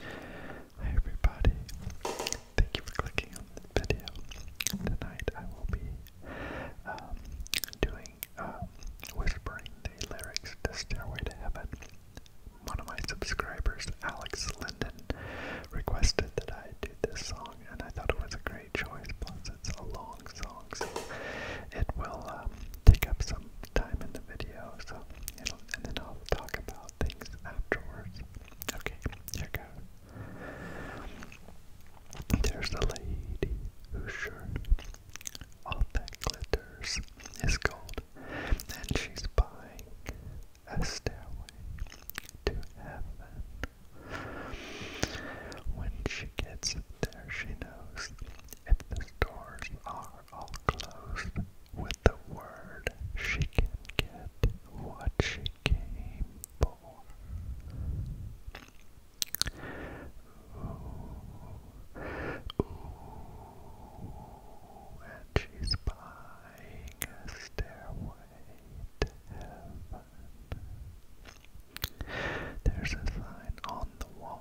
Hi everybody, thank you for clicking on this video. Tonight I will be um, doing, um, whispering the lyrics to Stairway to Heaven. One of my subscribers, Alex Linden, requested that I do this song and I thought it was a great choice, plus it's a long song so it will um, take up some time in the video, so and, then I'll talk about things afterwards. Okay, here goes. There's the lady whose sure, all that glitters, is gold, and she's buying a stairway to heaven. When she gets there, she knows if the doors are all closed. Will the word, she can get what she came for. Ooh, ooh, and she's buying a stairway to heaven. There's a sign on the wall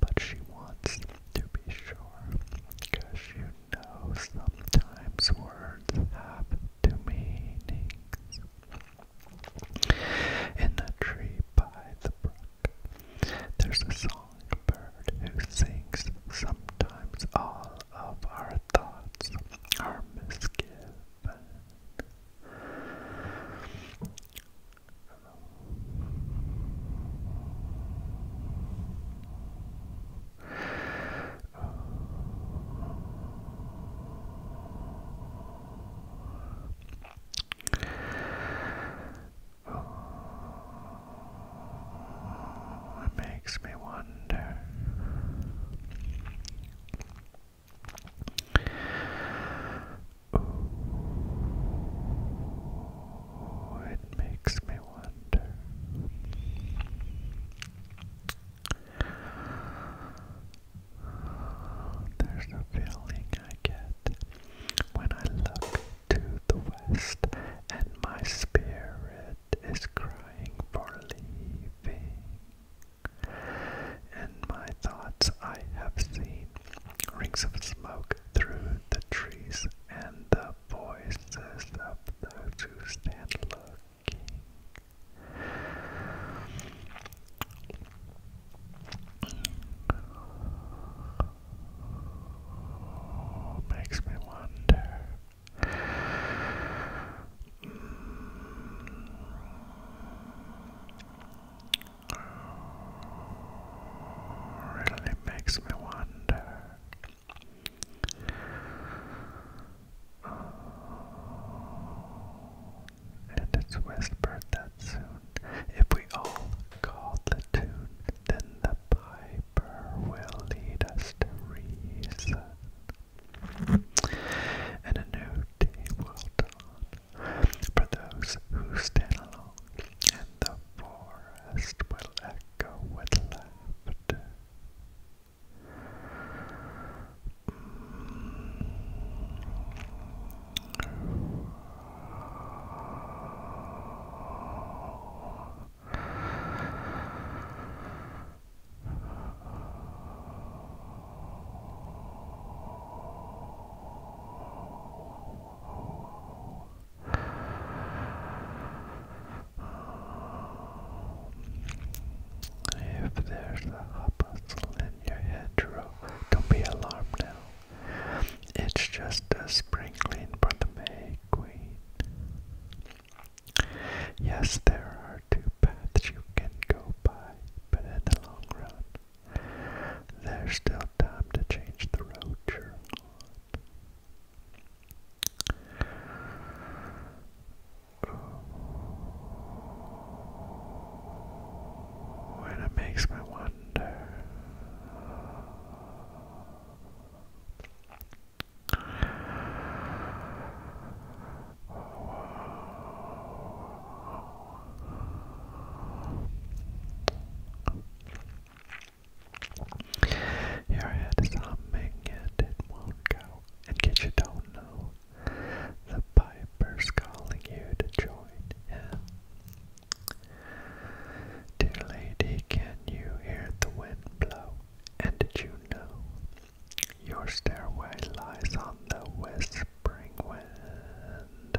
but she wants to be sure, because you know sometimes words have two meanings. In the tree by the brook, there's a songbird who sings. Sometimes all of our thoughts are misgiven. Oh, it makes me wonder it makes me wonder. there's a feeling I get when I look to the west and my spirit is crying for leaving. In my thoughts, I have seen rings of smoke through the trees, and the voices of those who stand looking. makes me wonder. Hmm really makes me wonder. And it's whispered that soon, if we all call the tune, then the piper will lead us to reason. And a new day will dawn for those who stand alone the forest will echo with laughter. If there's a hustle in your head, don't be alarmed now. It's just a sprinkling for the May Queen. Yes, there are two paths you can go by, but in the long run, there's still time to change the road Ooh, and it makes me wonder. Your head is humming yet it won't go, and yet you don't know. The piper's calling you to join Dear lady, can you hear the wind blow? And did you know your stairway lies on the whispering wind?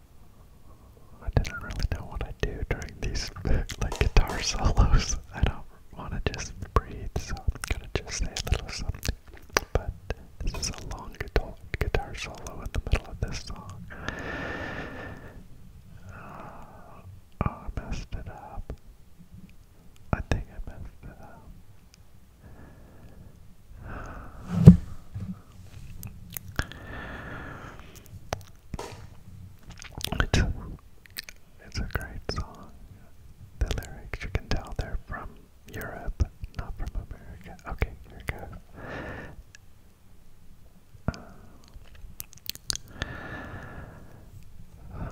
I didn't really know what I do during these like guitar solos. I don't want to just breathe, so I'm gonna just say a little something. But this is a long guitar solo in the middle of this song. Uh, oh, I messed it up. I think I messed it up. It's it's a great song. The lyrics, you can tell they're from Europe, not from America. Okay, here it goes. Uh,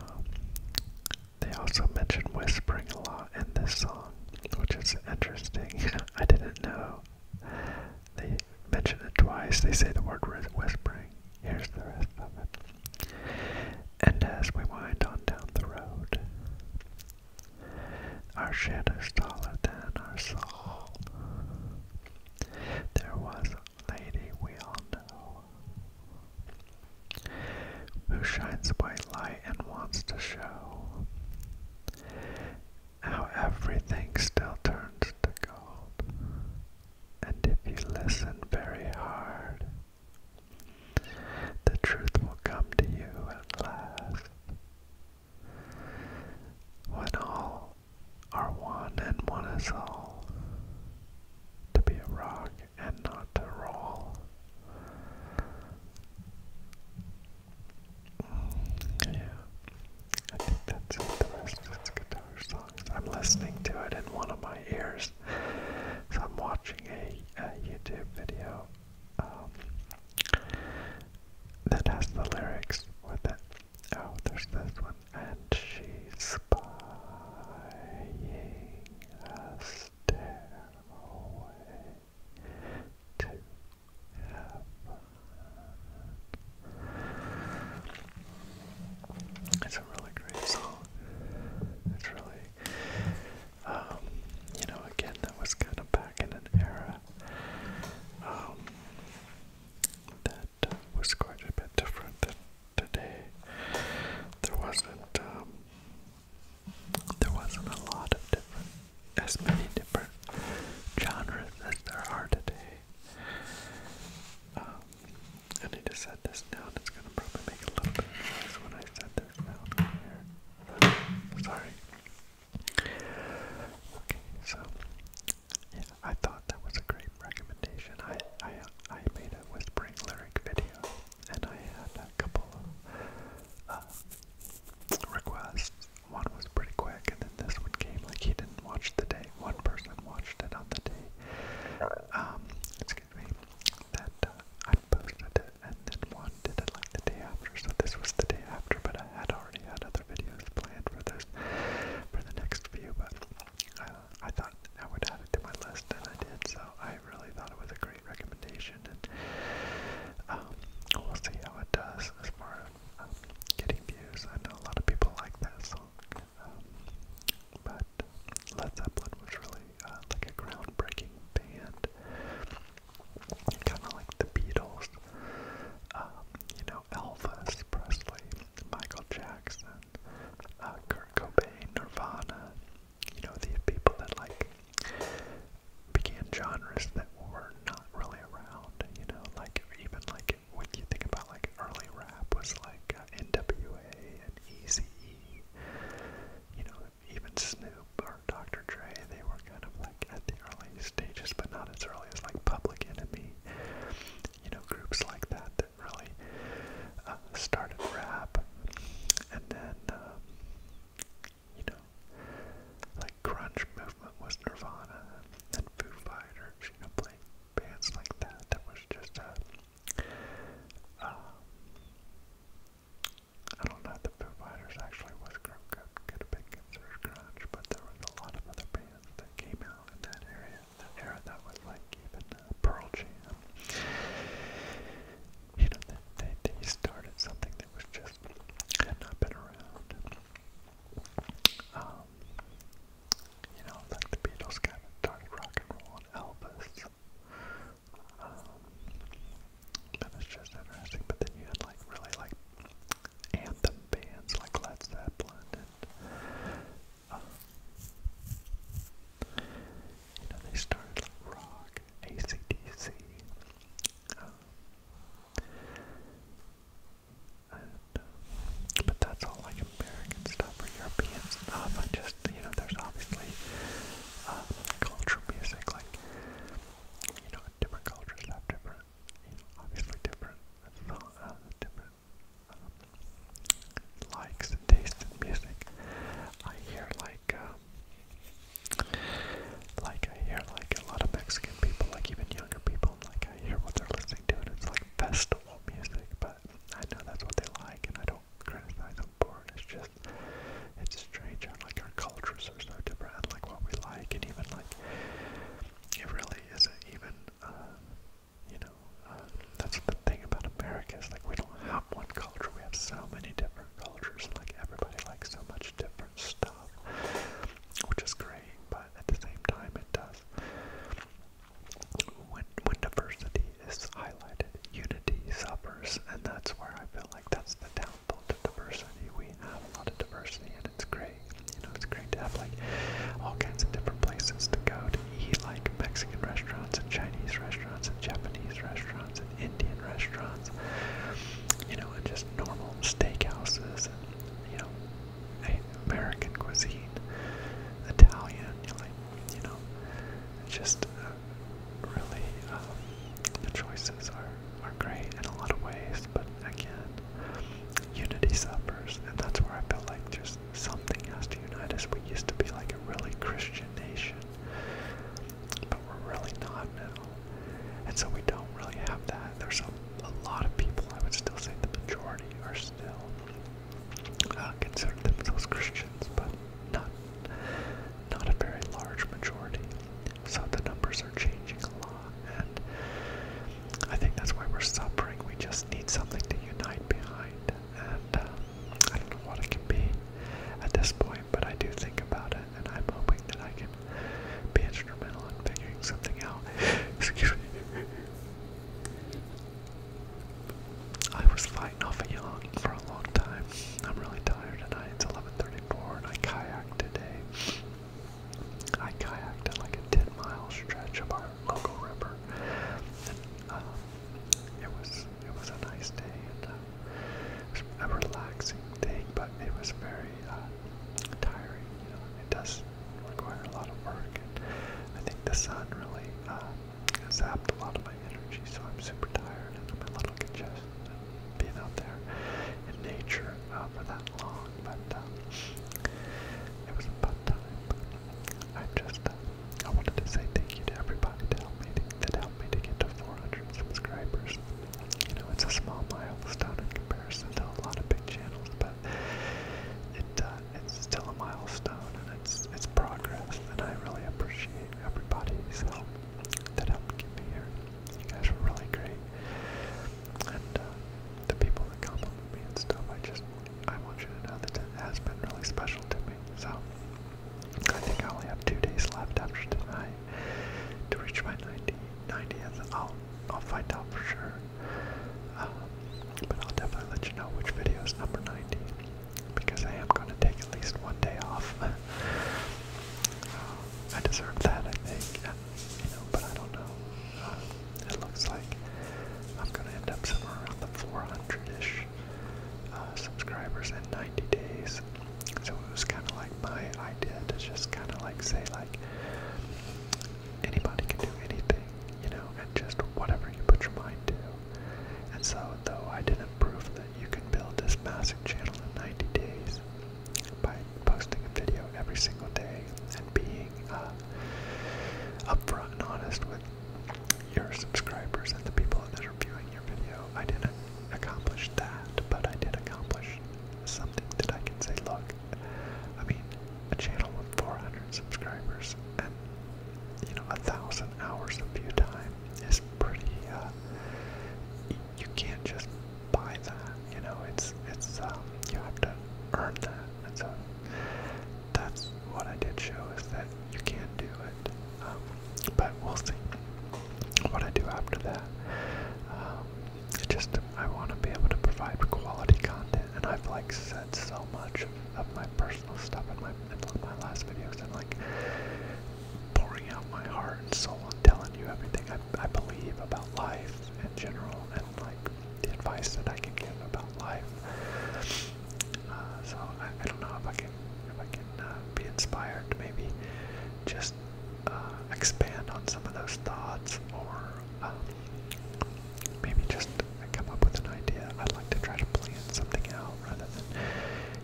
they also mention whispering a lot in this song, which is interesting. I didn't know they mention it twice. They say the word whispering. Here's the rest of it. And as we wind on down the road, our shadow's taller than our soul. There was a lady we all know who shines white light and wants to show how everything still turns to gold. And if you listen very hard, the truth will come to you at last. When all are one and one is all, to be a rock and not to roll. Yeah. I think that's it. The rest of I'm listening to it in one of my ears. So I'm watching a, YouTube video um, that has the lyrics with it. Oh, there's this one. And she's spying us to It's a really great song. It's really, um, you know, again, that was kind of back in an era um, that uh, was quite a bit different than today. There wasn't, um, there wasn't a lot of difference as many different genres as there are today. Um, I need to set this down. It's going to probably make a little bit of noise when I set this down here. Sorry. Okay, so yeah, I thought that was a great recommendation. I I I made a whispering lyric video, and I had a couple of uh, requests one was pretty quick, and then this one came like he didn't watch the day. One person watched it on the day. Um, excuse me. That uh, I posted it, and then one did it like the day after. So this was the day after, but I had already had other videos planned for this for the next few. But uh, I thought I would add it to my list, and I did. So I really thought it was a great recommendation competition, and um, we'll see how it does as far as um, getting views. I know a lot of people like that song, um, but Led Zeppelin was really uh, like a groundbreaking band, kind of like the Beatles, um, you know, Elvis Presley, Michael Jackson, uh, Kurt Cobain, Nirvana. You know, these people that like began genres that were not really around, you know, like even like when you think about like early rap was like uh, NWA and Eazy-E, you know, even Snoop or Dr. Dre, they were kind of like at the early stages, but not as early as like Public Enemy, you know, groups like that that really uh, started rap, and then. Um, you know, like grunge movement was Nirvana and Foo Fighters, you know, playing bands like that. That was just a, um, I don't know if the Foo Fighters actually was could, could have been considered grunge, but there was a lot of other bands that came out in that area, that era that was like even uh, Pearl Jam. You know, they, they, they started something it was just had not been around. Um, you know, like the Beatles kind of started rock and roll and Elvis. Um, that was just interesting. But then you had like really like anthem bands like Led Zeppelin and. Um, you know, they started like rock, ACDC, um, and, uh, but that's all like American stuff or European stuff. I just, you know, there's obviously uh, culture music, like, you know, different cultures have different, you know, obviously different, uh, different um, likes and tastes in music. I hear like, um, like I hear like a lot of Mexican people, like even younger people, like I hear what they're listening to and it's like festival music, but I know that's what they like and I don't criticize them for it. It's just it's strange how like our cultures are so different and like what we like and even like it really isn't even uh you know, uh, that's the thing about America is like we don't have one culture, we have so many different cultures, and like everybody likes so much different stuff stuff, which is great, but at the same time, it does. When, when diversity is highlighted, unity suffers, and that's where I feel like that's the downfall to diversity. We have a lot of diversity, and it's great. You know, it's great to have like all kinds of different places to go to eat, like Mexican restaurants and Chinese restaurants and Japanese restaurants and Indian restaurants. You know, and just just normal steakhouses and you know American cuisine, Italian, you know, like you know, just uh, really um, the choices are are great in a lot of ways. But again, unity suppers, and that's where I feel like just something has to unite us. We used to be like a really Christian nation, but we're really not now. And so we don't really have that. There's a, lot of people, I would still say the majority are still uh, considered themselves Christians, but not, not a very large majority. So the numbers are changing a lot, and I think that's why we're suffering. We just need something to unite behind, and um, I don't know what it can be at this point, but I do think about it and I'm hoping that I can be instrumental in figuring something out. Excuse me. I was fighting off a yawn for a long time. I'm really tired tonight. It's 11:34, and I kayaked today. I kayaked at like a 10-mile stretch of our local river, and uh, it was it was a nice day and uh, a relaxing day, but it was very uh, tiring. You know, it does require a lot of work, and I think the sun really uh, zapped a lot of my energy, so I'm super tired and I'm a little congested. being out there in nature uh, for that long, but uh, it was a fun time. I just I wanted to say thank you to everybody that helped me to get to 400 subscribers you know, it's a small milestone in comparison to a lot of big channels, but it uh, it's still a milestone and it's it's progress, and I really appreciate everybody's help that helped get me here. You guys were really great, and uh, the people that compliment me and stuff. I just I want you to know that it has been really special to me. So I think I only have two days left after tonight to reach my 90, I'll, I'll find out for sure. Uh, but I'll definitely let you know which video is number 90 because I am going to take at least one day off. Uh, I deserve that, I think. you know, but I don't know. Uh, it looks like I'm going to end up somewhere around the 400-ish subscribers in 90 days. So it was kind of like my idea to just kind of like say like anybody can do anything, you know, and just whatever you put your mind to. And so though I didn't prove that you can build this massive channel in 90 days by posting a video every single day and being uh, upfront and honest with your subscribers and the people that are viewing your video, I didn't accomplish that, but I did accomplish some that I can say, look, I mean, a channel of 400 subscribers and, you know, a thousand hours of view time is pretty, uh, you can't just buy that, you know, it's, it's, um, you have to earn that, and so that's what I did show is that you can do it, um, but we'll see what I do after that, um, it just I want to be able to provide quality content, and I've like said so much of, my personal stuff in my in my last videos, and like pouring out my heart and soul and telling you everything I I believe about life in general, and like the advice that I can give about life. Uh, so I, don't know if I can if I can uh, be inspired maybe just uh, expand on some of those thoughts or um, maybe just come up with an idea. I'd like to try to plan something out rather than,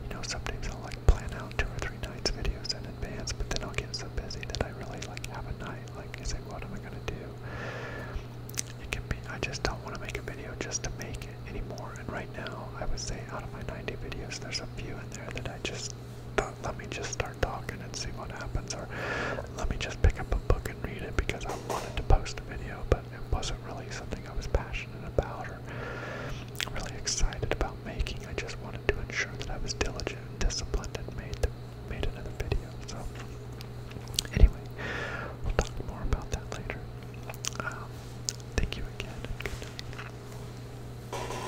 you know, sometimes I'll like plan out two or three nights videos in advance, but then I'll get so busy that I really like have a night. Like, I say, what am I gonna do? It can be. I just don't want to make a video just to make it anymore. And right now, I would say out of my 90 videos, there's a few in there that I just let me just start talking and see what happens, or let me just pick up a book and read it because I wanted to post a video, but it wasn't really something I was passionate about or really excited about making. I just wanted to ensure that I was diligent and disciplined and made made another video. So anyway, we'll talk more about that later. Um, thank you again good night.